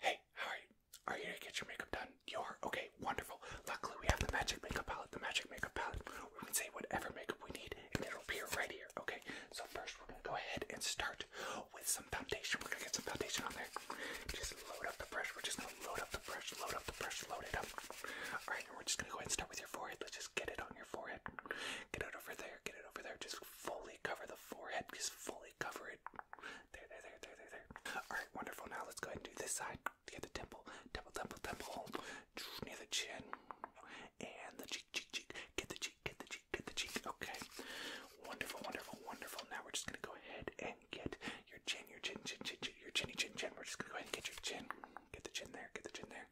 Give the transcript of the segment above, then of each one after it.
Hey, how are you? Are you here to get your makeup done? You are? Okay, wonderful. Luckily, we have the magic makeup palette. The magic makeup palette. We can say whatever makeup we need and it'll appear right here. Okay, so first we're going to go ahead and start with some foundation. We're going to get some foundation on there. Just load up the brush. We're just going to load up the brush, load up the brush, load it up. Alright, and we're just going to go ahead and start with your forehead. Let's just get it on your forehead. Get it over there, get it over there. Just fully cover the forehead. Just fully cover it. There, there, there, there, there, there. Alright, wonderful. Now let's go ahead and do this side. Get the temple, temple, temple, temple. Near the chin. And the cheek, cheek, cheek. Get the cheek, get the cheek, get the cheek. Okay. Wonderful, wonderful, wonderful. Now we're just gonna go ahead and get your chin, your chin, chin, chin, chin your chinny chin chin. We're just gonna go ahead and get your chin. Get the chin there, get the chin there.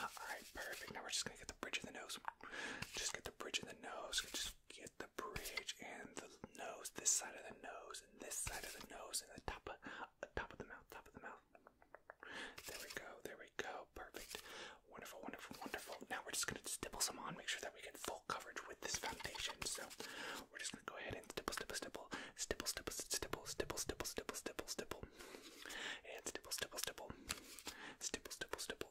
Alright, perfect. Now we're just gonna get the bridge of the nose. Just get the bridge of the nose get the bridge and the nose, this side of the nose, and this side of the nose, and the top of, uh, top of the mouth, top of the mouth. There we go, there we go, perfect. Wonderful, wonderful, wonderful. Now we're just gonna stipple some on, make sure that we get full coverage with this foundation. So we're just gonna go ahead and stipple, stipple, stipple, stipple, stipple, stipple, stipple, stipple, stipple, stipple, stipple, and stipple, stipple, stipple, stipple, stipple, stipple,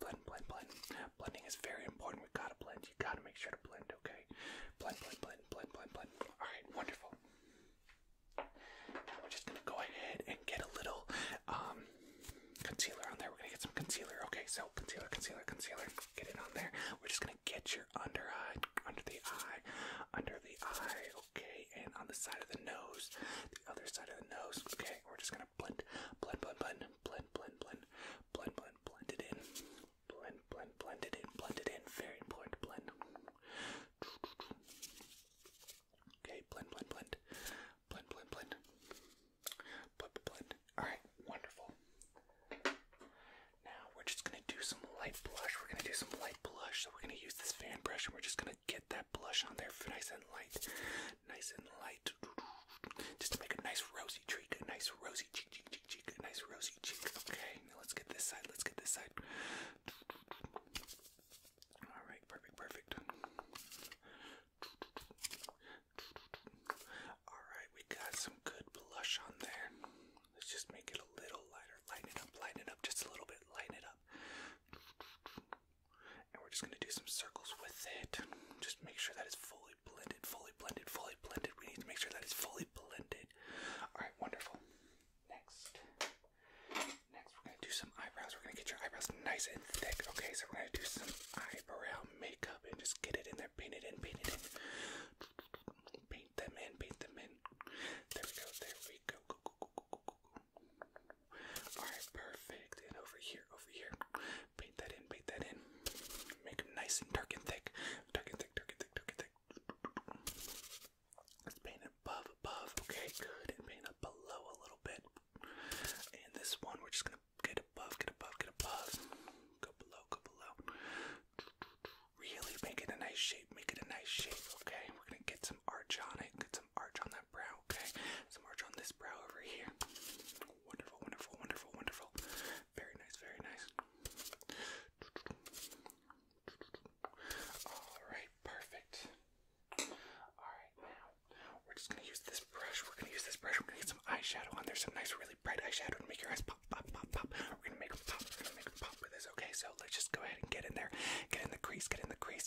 blend, blend, blend. Blending is very important. We gotta blend. You gotta make sure to blend, okay? Blend, blend, blend, blend, blend, blend. Alright, wonderful. we're just gonna go ahead and get a little concealer on there. We're gonna get some concealer, okay? So concealer, concealer, concealer, get it on there. We're just gonna get your under eye, under the eye, under the eye, okay, and on the side of the nose, the other side of the nose, okay. We're just gonna blend, blend, blend, blend, blend, blend, blend, blend, blend it in. Blend, blend, blend it in, blend it in. Very important blend. Okay, blend, blend, blend. Blend, blend, blend. Blend, blend. Alright, wonderful. Now we're just gonna do some light blush. We're gonna do some light blush. So we're gonna use this fan brush and we're just gonna get that blush on there nice and light. Nice and light just to make a nice rosy cheek, a nice rosy cheek, a nice rosy cheek. Okay, now let's get this side. Let's get this side. All right, perfect, perfect. All right, we got some good blush on there. Let's just make it a little lighter. Lighten it up, lighten it up just a little bit. Lighten it up and we're just going to do some circles with it. Just make sure that it's fully blended, fully blended, fully blended. We need to make sure that it's fully blended. All right, wonderful. Next. Next, we're going to do some eyebrows. We're going to get your eyebrows nice and thick. Okay, so we're going to do some eyebrow makeup and just get it in there, paint it in, paint it in. Paint them in, paint them in. There we go, there we go. Alright, perfect. And over here, over here. Paint that in, paint that in. Make them nice and dark and thick. Dark and thick, dark and thick, dark and thick. Let's paint above, above. Okay, good. And paint up below a little bit. And this one, we're just gonna get above, get above, get above. Go below, go below. Really make it a nice shape, make it a nice shape, okay? We're gonna get some arch on it, get some arch on that brow, okay? So merge on this brow over here. Wonderful, wonderful, wonderful, wonderful. Very nice, very nice. Alright, perfect. Alright, now we're just gonna use this brush. We're gonna use this brush. We're gonna get some eyeshadow on there, some nice, really bright eyeshadow to make your eyes pop, pop, pop, pop. We're gonna make them pop. We're gonna make them pop with this, okay? So let's just go ahead and get in there. Get in the crease, get in the crease.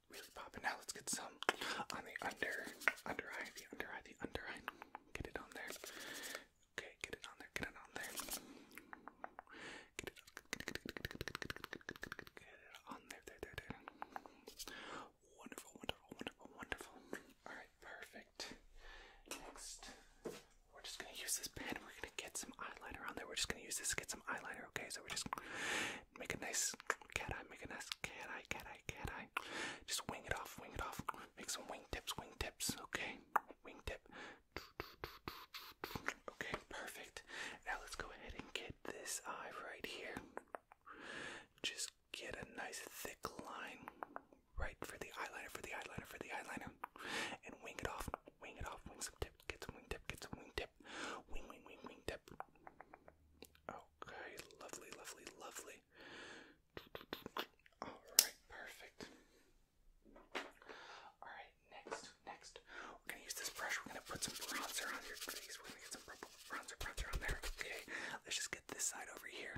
really popping. Now let's get some on the under, under eye, the under eye, the under eye. Get it on there. Okay, get it on there, get it on there. Get it, on there, there, there, there. Wonderful, wonderful, wonderful, wonderful. All right, perfect. Next, we're just gonna use this this We're gonna get some eyeliner on there. We're just gonna use this to get some eyeliner. Okay, so we're just make a nice cat eye, make a nice cat eye, cat eye, cat eye. Just wing it off, wing it off. Make some wing tips, wing tips. Okay, wing tip. Okay, perfect. Now let's go ahead and get this eye right here. Just get a nice thick line right for the eyeliner, for the eyeliner, for the eyeliner, and wing it off, wing it off, wing some tips get some wing tip, get some wing tip. Wing, wing, wing, wing tip. Okay, lovely, lovely, lovely. Alright, perfect. Alright, next, next. We're gonna use this brush. We're gonna put some bronzer on your face. We're gonna get some bronzer, bronzer on there. Okay, let's just get this side over here.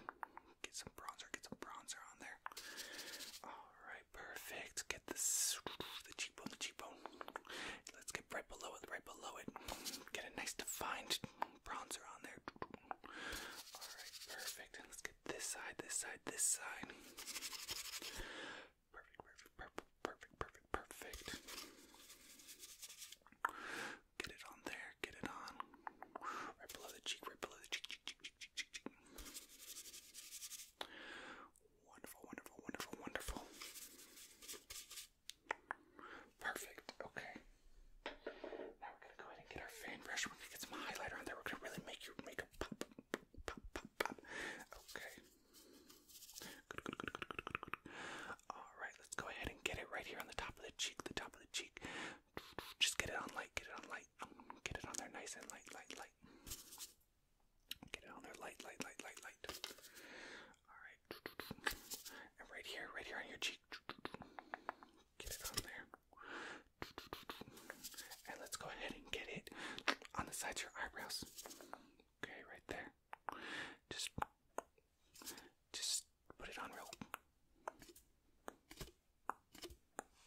Get some bronzer, get some bronzer on there. Alright, perfect. Get the cheekbone, the cheekbone. Let's get right below it, right below it. Get a nice defined bronzer on there. All right, perfect. Let's get this side, this side, this side. Perfect, perfect, perfect, perfect, perfect, perfect. Get it on there, get it on. Right below the cheek, right below the cheek. Wonderful, wonderful, wonderful, wonderful. Perfect. Okay. Now we're gonna go ahead and get our fan brush. We're gonna get some highlighter on there. We're gonna really make your makeup pop, pop, pop, pop, pop. Okay. Good, good, good, good, good, good, good. All right. Let's go ahead and get it right here on the top of the cheek. The top of the cheek. Just get it on light. Get it on light. Get it on there nice and light, light, light. Get it on there light, light, light, light, light. Alright. And right here, right here on your cheek. Get it on there. And let's go ahead and get it on the sides of your eyebrows. Okay, right there. Just just put it on real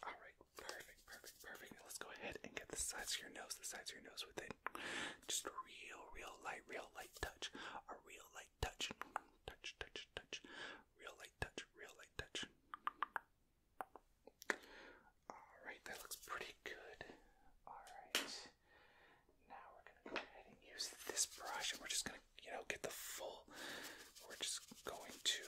Alright, perfect, perfect, perfect. let's go ahead and get the sides of your nose, the sides of your nose with it. Just real, real light, real light touch. A real light touch. Touch, touch, touch. Real light touch, real light touch. Alright, that looks pretty good. Alright. Now we're gonna go ahead and use this brush and we're just gonna, you know, get the full we're just going to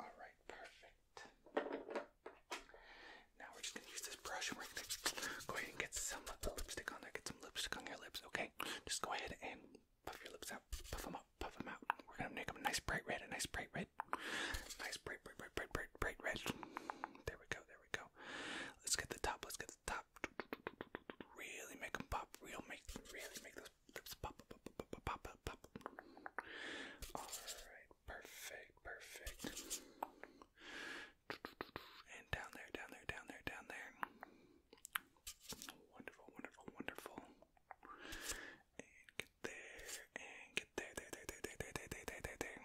all right, perfect. Now we're just gonna use this brush and we're gonna go ahead and get some lipstick on there. Get some lipstick on your lips, okay? Just go ahead and puff your lips out, puff them up, puff them out. We're gonna make them a nice bright red, a nice bright red, nice bright, bright, bright, bright, bright, red. There we go, there we go. Let's get the top. Let's get the top. Really make them pop. Real make, really make those Alright, perfect, perfect. And down there, down there, down there, down there. Wonderful, wonderful, wonderful. And get there, and get there, there, there, there, there, there, there, there, there, there.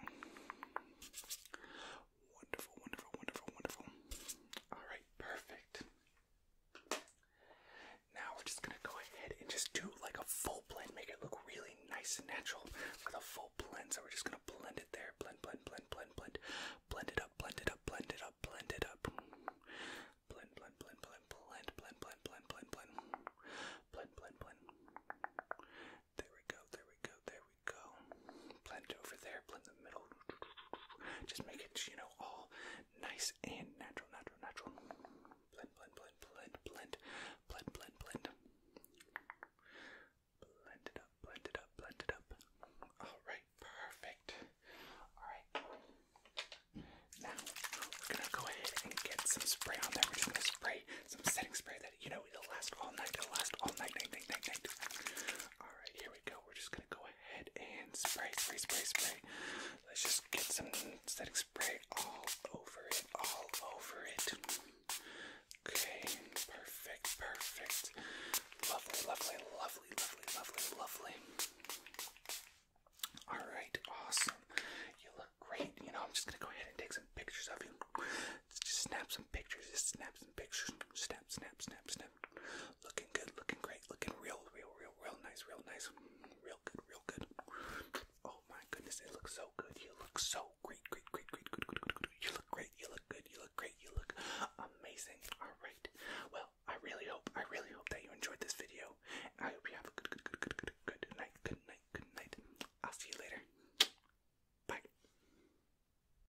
Wonderful, wonderful, wonderful, wonderful. Alright, perfect. Now we're just gonna go ahead and just do like a full blend, make it look really nice and natural with a full blend. So we're just gonna blend it there, blend, blend, blend, blend, blend, blend it up, blend it up, blend it up, blend it up, blend, blend, blend, blend, blend, blend, blend, blend, blend, blend, blend, blend, blend. There we go, there we go, there we go. Blend it over there, blend the middle, just make it, you know, all nice and natural, natural, natural. Blend, blend, blend, blend, blend, blend, blend, blend. Blend it up, blend it up, blend it up. Alright, perfect. Alright. Now, we're gonna go ahead and get some spray on there. We're just gonna spray some setting spray that, you know, it'll last all night. It'll last all night, night, night, night, night. Alright, here we go. We're just gonna go ahead and spray, spray, spray, spray. Let's just get some static spray all over it, all over it. Okay, perfect, perfect. Lovely, lovely, lovely, lovely, lovely, lovely. Alright, awesome. You look great. You know, I'm just gonna go ahead and take some pictures of you. Just snap some pictures, just snap some pictures. Snap, snap, snap, snap good. Looking good, looking great, looking real, real, real, real nice, real nice. Mm, real good, real good. Oh my goodness, it looks so good. You look so great, great, great, great, good, good, good, good. You look great, you look good, you look great, you look amazing. Alright. Well, I really hope, I really hope that you enjoyed this video. I hope you have a good, good, good, good, good, good night, good night, good night. I'll see you later. Bye.